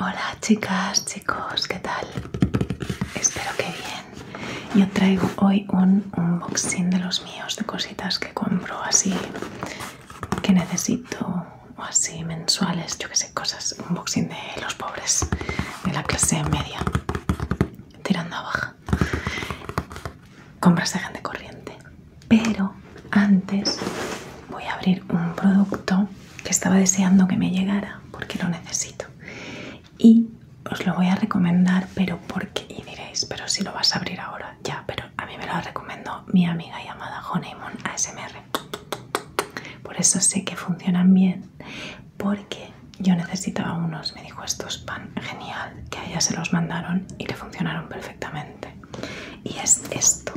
Hola chicas, chicos, ¿qué tal? Espero que bien. Yo traigo hoy un unboxing de los míos, de cositas que compro así, que necesito, o así mensuales, yo que sé, cosas, unboxing de los pobres, de la clase media, tirando abajo Compras de gente corriente. Pero antes voy a abrir un producto que estaba deseando que me llegara porque lo necesito y os lo voy a recomendar pero porque y diréis pero si lo vas a abrir ahora ya pero a mí me lo recomendó mi amiga llamada Honeymoon ASMR por eso sé que funcionan bien porque yo necesitaba unos me dijo estos pan genial que a ella se los mandaron y le funcionaron perfectamente y es esto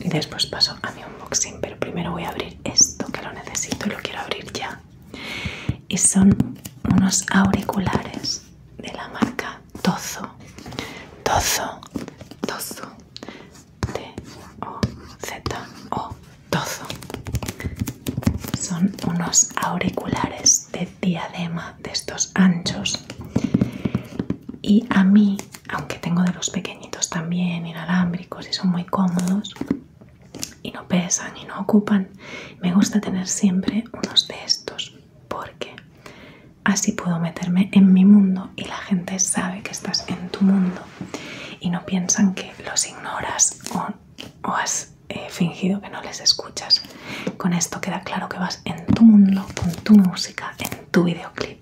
y después paso a mi unboxing pero primero voy a abrir esto que lo necesito y lo quiero abrir ya y son unos auriculares de la marca Tozo Tozo Tozo T-O-Z-O Tozo son unos auriculares de diadema de estos anchos y a mí aunque tengo de los pequeñitos también inalámbricos y son muy cómodos y no pesan y no ocupan, me gusta tener siempre unos de estos porque así puedo meterme en mi mundo y la gente sabe que estás en tu mundo y no piensan que los ignoras o, has eh, fingido que no les escuchas. Con esto queda claro que vas en tu mundo, con tu música, en tu videoclip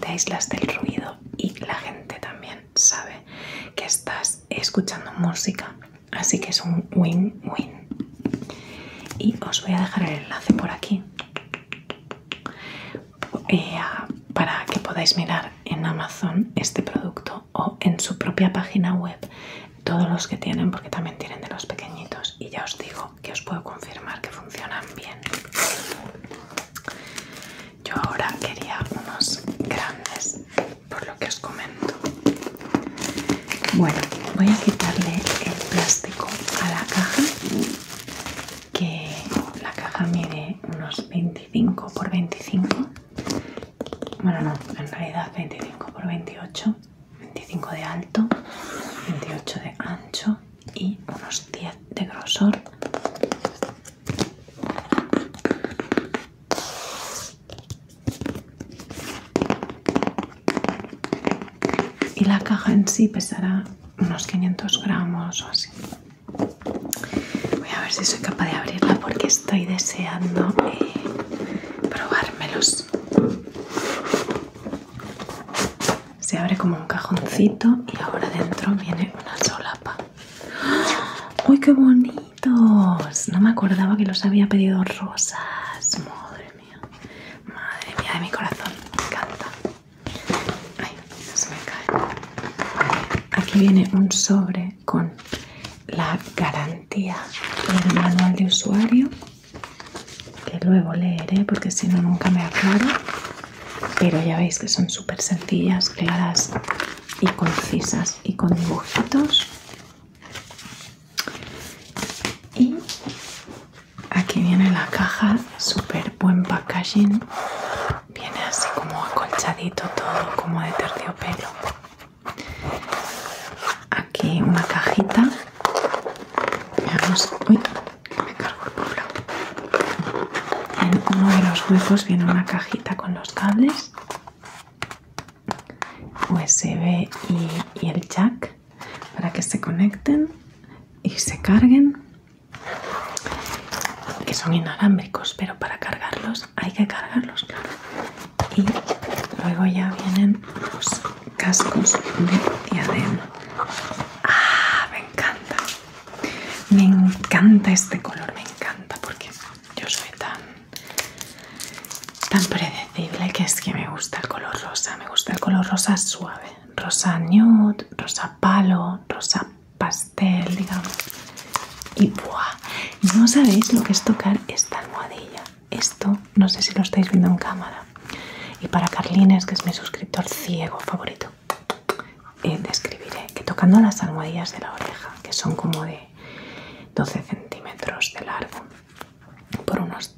te aíslas del Ruido y la gente también sabe que estás escuchando música, así que es un win-win. Y os voy a dejar el enlace por aquí eh, para que podáis mirar en Amazon este producto o en su propia página web todos los que tienen, porque también tienen de los pequeñitos. Y ya os digo, que os puedo confirmar que funcionan bien. Yo ahora quería unos grandes, por lo que os comento. Bueno, voy a quitarle el plástico a la caja, que la caja mide unos 25 por 25. Bueno, no, en realidad 25 por 28, 25 de alto, 28 de ancho y unos 10 de grosor y la caja en sí pesará unos 500 gramos o así voy a ver si soy capaz de abrirla porque estoy deseando eh, probármelos se abre como un cajoncito y ahora dentro viene una solapa. ¡Ah! ¡Uy, qué bonitos! No me acordaba que los había pedido rosas. Madre mía. Madre mía de mi corazón. Me encanta. Ay, se me Aquí viene un sobre con la garantía del manual de usuario que luego leeré porque si no nunca me aclaro pero ya veis que son súper sencillas claras y concisas y con dibujitos y aquí viene la caja súper buen packaging viene así como acolchadito todo como de terciopelo aquí una cajita Veamos. Uy, me cargo el en uno de los huecos viene una cajita con los cables USB y, y el jack para que se conecten y se carguen que son inalámbricos pero para cargarlos hay que cargarlos claro y luego ya vienen los cascos de diadema. Ah, me encanta. Me encanta este color, me encanta porque yo soy tan tan predecible que es que me gusta el color rosa, me gusta el color rosa suave, rosa nude, rosa palo, rosa pastel, digamos. Y buah, no sabéis lo que es tocar esta almohadilla esto no sé si lo estáis viendo en cámara y para Carlines que es mi suscriptor ciego favorito describiré eh, que tocando las almohadillas de la oreja que son como de 12 centímetros de largo por unos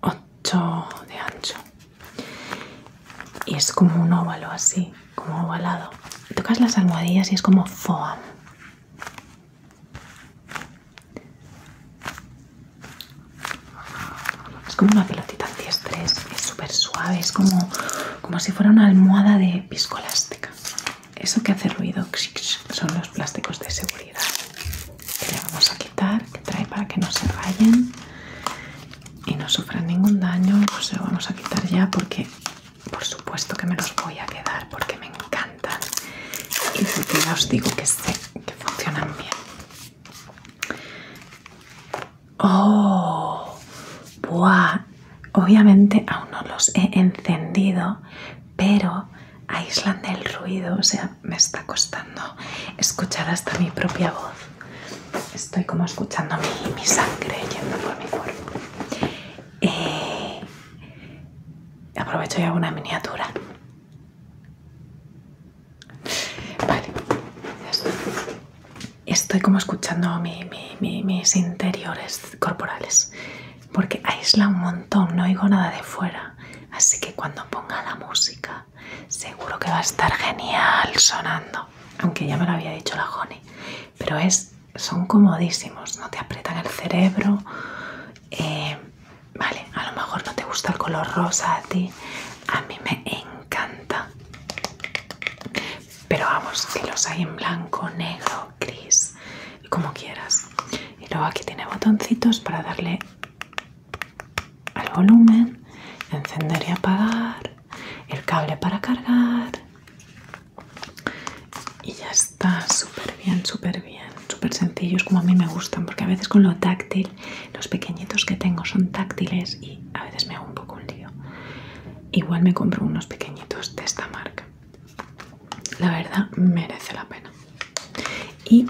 8 de ancho y es como un óvalo así como ovalado tocas las almohadillas y es como foam es como una pelotita antiestrés, es súper suave, es como, si fuera una almohada de piscolástica. Eso que hace ruido son los plásticos de seguridad que le vamos a quitar, que trae para que no se rayen y no sufran ningún daño. Pues lo vamos a quitar ya porque por supuesto que me los voy a quedar porque me encanta y si ya os digo que sé que funcionan bien. ¡Oh! ¡Buah! Obviamente aún no los he encendido, pero aíslan del ruido, o sea, me está costando escuchar hasta mi propia voz. Estoy como escuchando mi, sangre yendo por mi cuerpo. Eh, aprovecho y hago una miniatura Vale, Estoy como escuchando mis interiores corporales, porque aísla un montón, no oigo nada de fuera. Así que cuando ponga la música, seguro que va a estar genial sonando. Aunque ya me lo había dicho la Joni, pero es, son comodísimos, no te aprietan el cerebro, eh, vale, a lo mejor no te gusta el color rosa a ti, a mí me encanta. Pero vamos, que los hay en blanco, negro, gris, como quieras. Y luego aquí tiene botoncitos para darle al volumen, encender y apagar, el cable para cargar y ya está. Está súper bien, súper bien, súper sencillos como a mí me gustan, porque a veces con lo táctil, los pequeñitos que tengo son táctiles y a veces me hago un poco un lío. Igual me compro unos pequeñitos de esta marca. La verdad merece la pena. Y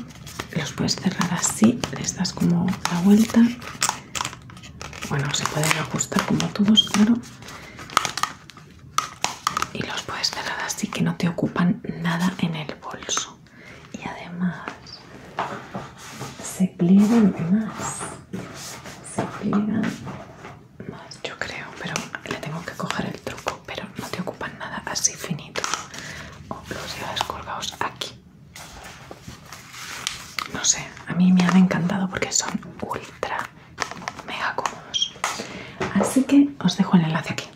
los puedes cerrar así, les das como la vuelta. Bueno, se pueden ajustar como todos, claro y los puedes cerrar así que no te ocupan nada en el bolso y además se pliegan más se pliegan más yo creo pero le tengo que coger el truco pero no te ocupan nada así finito o los llevas colgados aquí no sé a mí me han encantado porque son ultra mega cómodos. Así que os dejo el enlace aquí.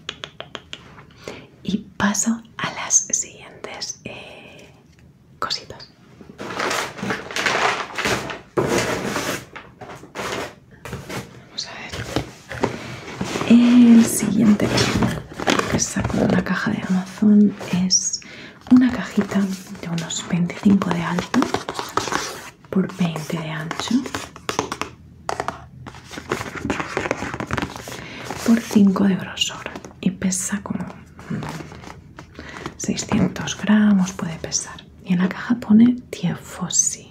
Y paso a las siguientes eh, cositas. Vamos a ver. El siguiente que saco de la caja de Amazon es una cajita de unos 25 de alto por 20 de ancho por 5 de grosor y pesa como 600 gramos puede pesar y en la caja pone Fossi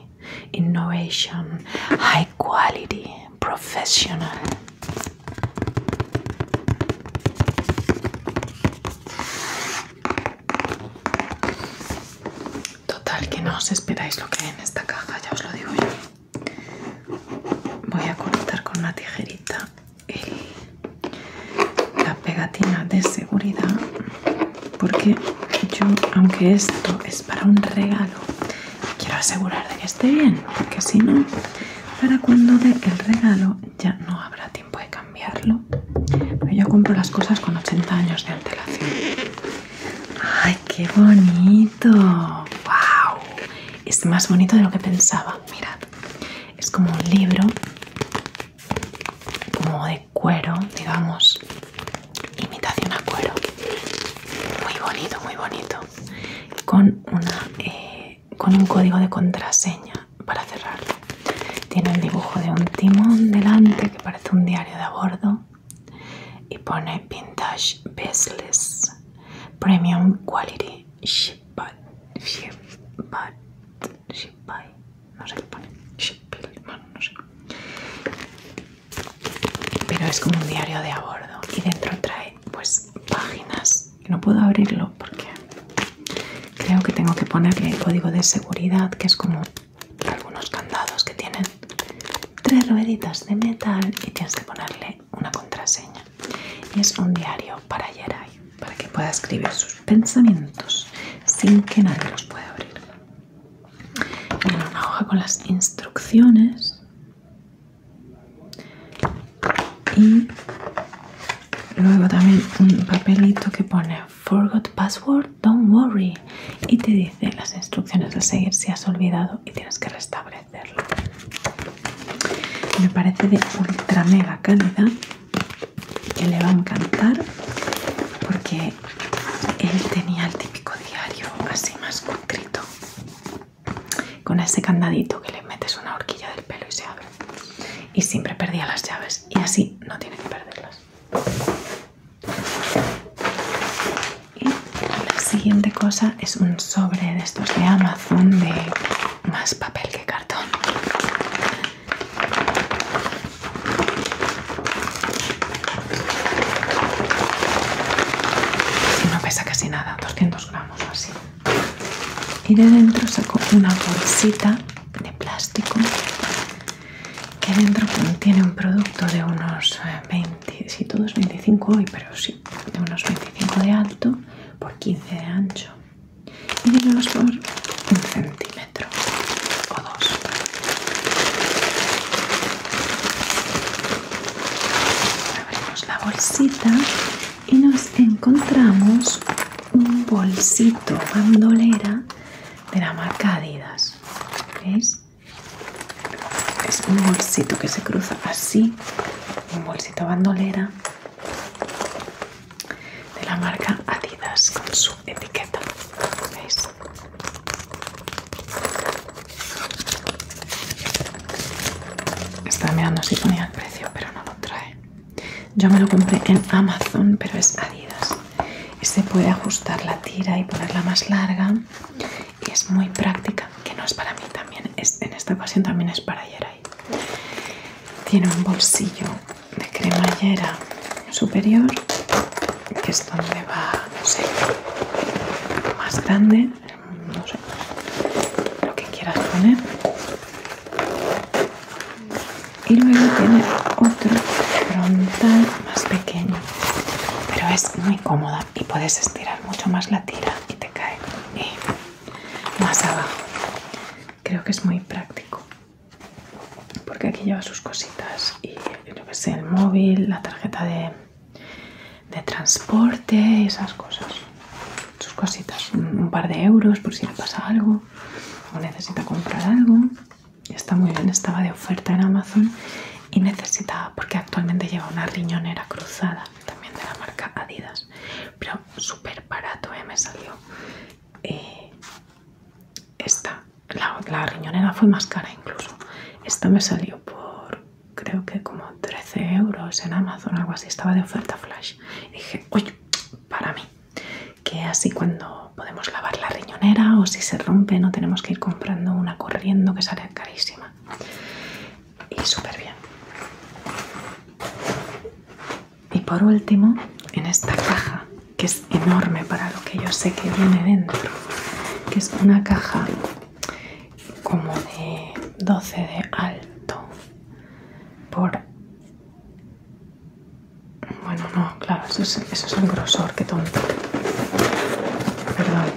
Innovation High Quality Professional Total, que no os esperáis lo que hay en esta caja, ya os lo digo yo. Voy a cortar con una tijerita la pegatina de seguridad, porque yo, aunque esto es para un regalo, quiero asegurar de que esté bien, porque si no, para cuando dé el regalo ya no habrá tiempo de cambiarlo. Pero Yo compro las cosas con 80 años de ¡Ay, qué bonito! ¡Wow! Es más bonito de lo que pensaba. Mirad, es como un libro, como de cuero, digamos, imitación a cuero. Muy bonito, muy bonito. Con, una, eh, con un código de contraseña para cerrarlo. Tiene el dibujo de un timón delante que parece un diario de a bordo y pone Vintage Bezeless Premium Quality Ship by, Ship no sé qué pone, Ship no sé. Pero es como un diario de a bordo y dentro trae pues páginas Y no puedo abrirlo porque creo que tengo que ponerle el código de seguridad que es como algunos candados que tienen tres rueditas de metal y tienes que ponerle una contraseña. es un diario para Yeray, para que pueda escribir sus pensamientos sin que nadie los pueda abrir. Tiene una hoja con las instrucciones y luego también un papelito que pone Forgot Password Don't Worry y te dice las instrucciones de seguir si has olvidado y tienes que restablecerlo. Me parece de ultra mega calidad que le va a encantar porque él tenía el típico diario así más concreto con ese candadito que le metes una horquilla del pelo y se abre y siempre perdía las llaves y así no tiene que perderlas y la siguiente cosa es un sobre de estos de Amazon de más papel que cartón. No pesa casi nada, 200 gramos o así. Y de dentro saco una bolsita de plástico que dentro contiene un producto de unos 20, eh, si todos 25 hoy, pero sí, de unos 25 de alto por 15 de ancho y de unos por un centímetro o dos. Abrimos la bolsita y nos encontramos un bolsito bandolera de la marca Adidas. ¿Veis? Es un bolsito que se cruza así, un bolsito bandolera de la marca Adidas con su etiqueta. ¿Veis? Estaba mirando si ponía el precio, pero no lo trae. Yo me lo compré en Amazon, pero es Adidas. Se puede ajustar la tira y ponerla más larga. Y es muy práctica, que no es para mí también. en esta ocasión también es para Yeray. Tiene un bolsillo de cremallera superior, que es donde va, no sé, más grande, no sé, lo que quieras poner y luego tiene otro frontal más pequeño pero es muy cómoda y puedes estirar mucho más la tira y te cae más abajo creo que es muy práctico porque aquí lleva sus cositas y lo que sé el móvil la tarjeta de, transporte esas cosas sus cositas un, un par de euros por si le pasa algo o necesita comprar algo. Está muy bien, estaba de oferta en Amazon y necesitaba, porque actualmente lleva una riñonera cruzada, también de la marca Adidas, pero súper barato, eh, me salió. Eh, esta, la, riñonera fue más cara incluso. Esta me salió por creo que como 13 euros en Amazon, algo así, estaba de oferta flash. dije, oye para mí que así cuando podemos lavar la riñonera o si se rompe no tenemos que ir comprando una corriendo que sale carísima y súper bien y por último en esta caja que es enorme para lo que yo sé que viene dentro que es una caja como de 12 de alto por bueno, no, claro, eso es, el grosor, qué tonto. Perdón.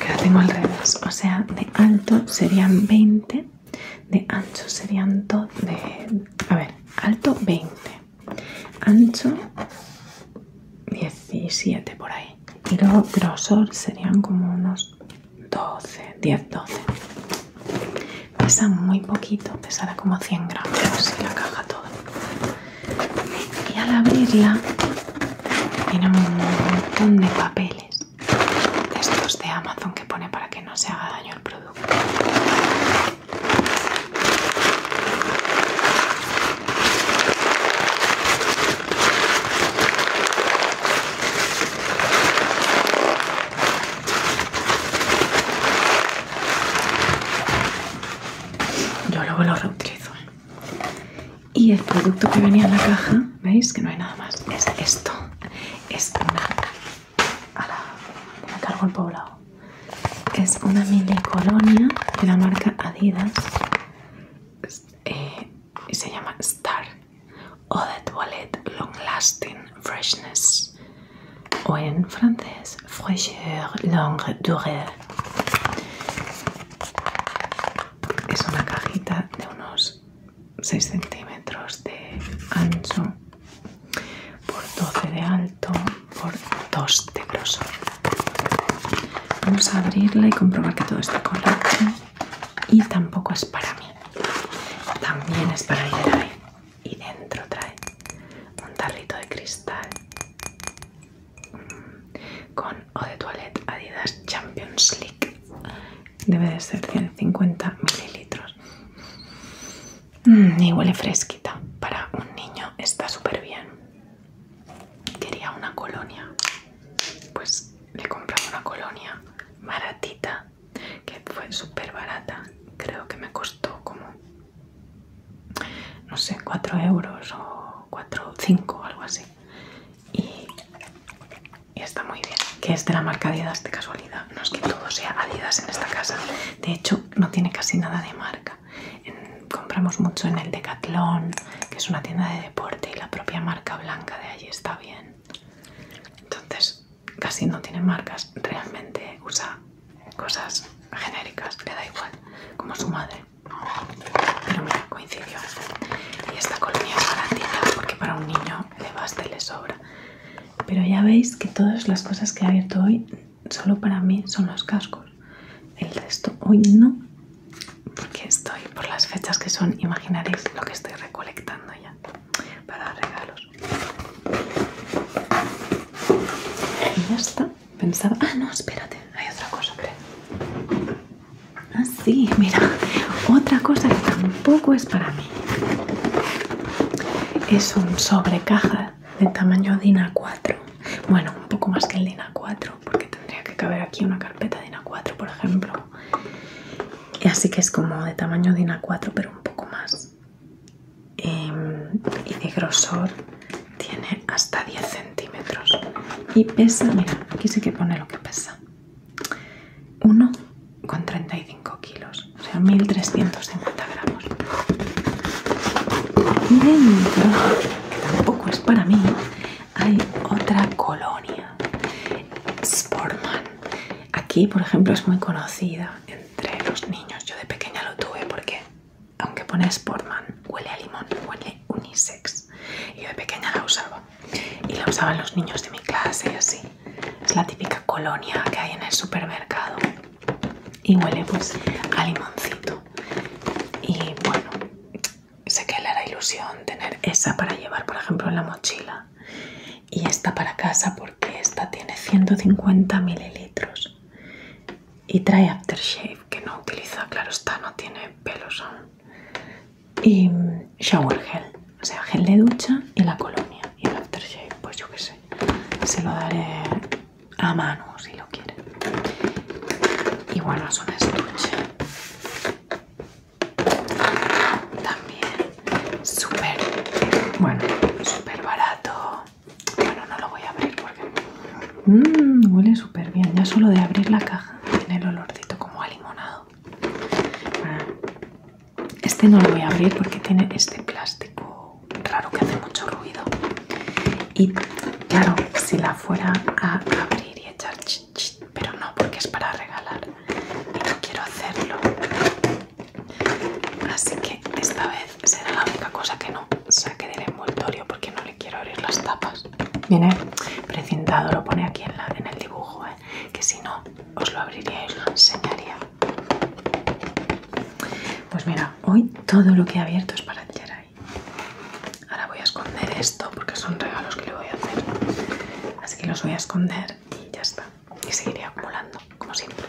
Que la tengo al O sea, de alto serían 20, de ancho serían 12. De, a ver, alto 20, ancho 17 por ahí. Y luego grosor serían como unos 12, 10, 12. Pesa muy poquito, pesará como 100 gramos, y la caja toda. Y al abrirla, tiene un montón de papeles. De estos de Amazon que pone para que no se haga daño el producto. Yo luego lo reutilizo. ¿eh? Y el producto que venía en la caja, ¿veis? Que no hay nada más. Es esto. Es una... me cargo el poblado. Es una mini colonia de la marca Adidas. Eh, y se llama Star o de toilet long lasting freshness o en francés fraîcheur longue durée. Es una cajita de unos 6 centímetros de ancho por 12 de alto por 2 de grosor. Vamos a abrirla y comprobar que todo está correcto y tampoco es para mí también es para Ideray y dentro trae un tarrito de cristal mm, con o de toilette Adidas Champions League debe de ser 150 mililitros mm, y huele fresquita para un niño está súper bien quería una colonia pues le he una colonia baratita que fue súper barata creo que me costó como no sé 4 euros o 4 o 5 algo así y, está muy bien que es de la marca Adidas de casualidad no es que todo sea Adidas en esta casa de hecho no tiene casi nada de marca compramos mucho en el Decathlon que es una tienda de deporte y la propia marca blanca de allí está bien entonces, casi no tiene marcas, realmente usa cosas genéricas, le da igual, como su madre. Pero mira, coincidió. Y esta colonia es garantizada porque para un niño le basta y le sobra. Pero ya veis que todas las cosas que he abierto hoy, solo para mí son los cascos. El resto hoy no, porque estoy por las fechas que son, imaginaréis lo que estoy recolectando para regalos. Y ya está. Pensaba. Ah, no, espérate. Hay otra cosa, así Ah, sí, mira. Otra cosa que tampoco es para mí. Es un sobrecaja de tamaño DINA 4. Bueno, un poco más que el a 4, porque tendría que caber aquí una carpeta a 4, por ejemplo así que es como de tamaño de una 4 pero un poco más. Em, y, de grosor tiene hasta 10 centímetros. Y pesa, mira, aquí sí que pone lo que pesa. 1,35 kilos, o sea, 1350 gramos. Y que tampoco es para mí, hay otra colonia, Sportman. Aquí, por ejemplo, es muy conocida entre los niños. Yo de pequeña lo tuve porque, aunque pone Sportman, huele a limón, huele unisex. Y yo de pequeña la usaba. Y la usaban los niños de mi clase y así. Es la típica colonia que hay en el supermercado. Y huele pues a limoncito. Y bueno, sé que le hará ilusión tener esa para llevar, por ejemplo, en la mochila. Y esta para casa porque esta tiene 150 mililitros. Y trae aftershave que no utiliza, claro esta no tiene pelos aún. Y mm, shower gel, o sea, gel de ducha y la colonia. Y el aftershave, pues yo qué sé, se lo daré a mano si lo quiere. Y bueno, es un estuche también súper, bueno, súper barato. Bueno, no lo voy a abrir porque... Mm, huele súper bien. Ya solo de abrir la caja tiene el olorcito como a limonado. Ah. Este no lo voy a abrir porque tiene este plástico raro que hace mucho ruido. Y claro, si la fuera a abrir y echar pero no porque es para regalar y no quiero hacerlo así que esta vez será la única cosa que no saque del envoltorio porque no le quiero abrir las tapas viene precintado lo pone aquí en, el dibujo ¿eh? que si no os lo abriría y os lo enseñaría pues mira hoy todo lo que he abierto es para Jerai Ahora voy a esconder esto porque son regalos que le voy a hacer. Así que los voy a esconder y ya está. Y seguiré acumulando, como siempre.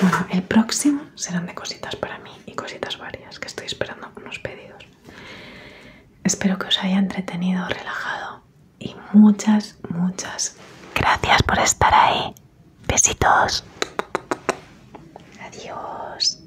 Bueno, el próximo serán de cositas para mí y cositas varias, que estoy esperando unos pedidos. Espero que os haya entretenido, relajado y muchas, muchas gracias por estar ahí. Besitos. Adiós.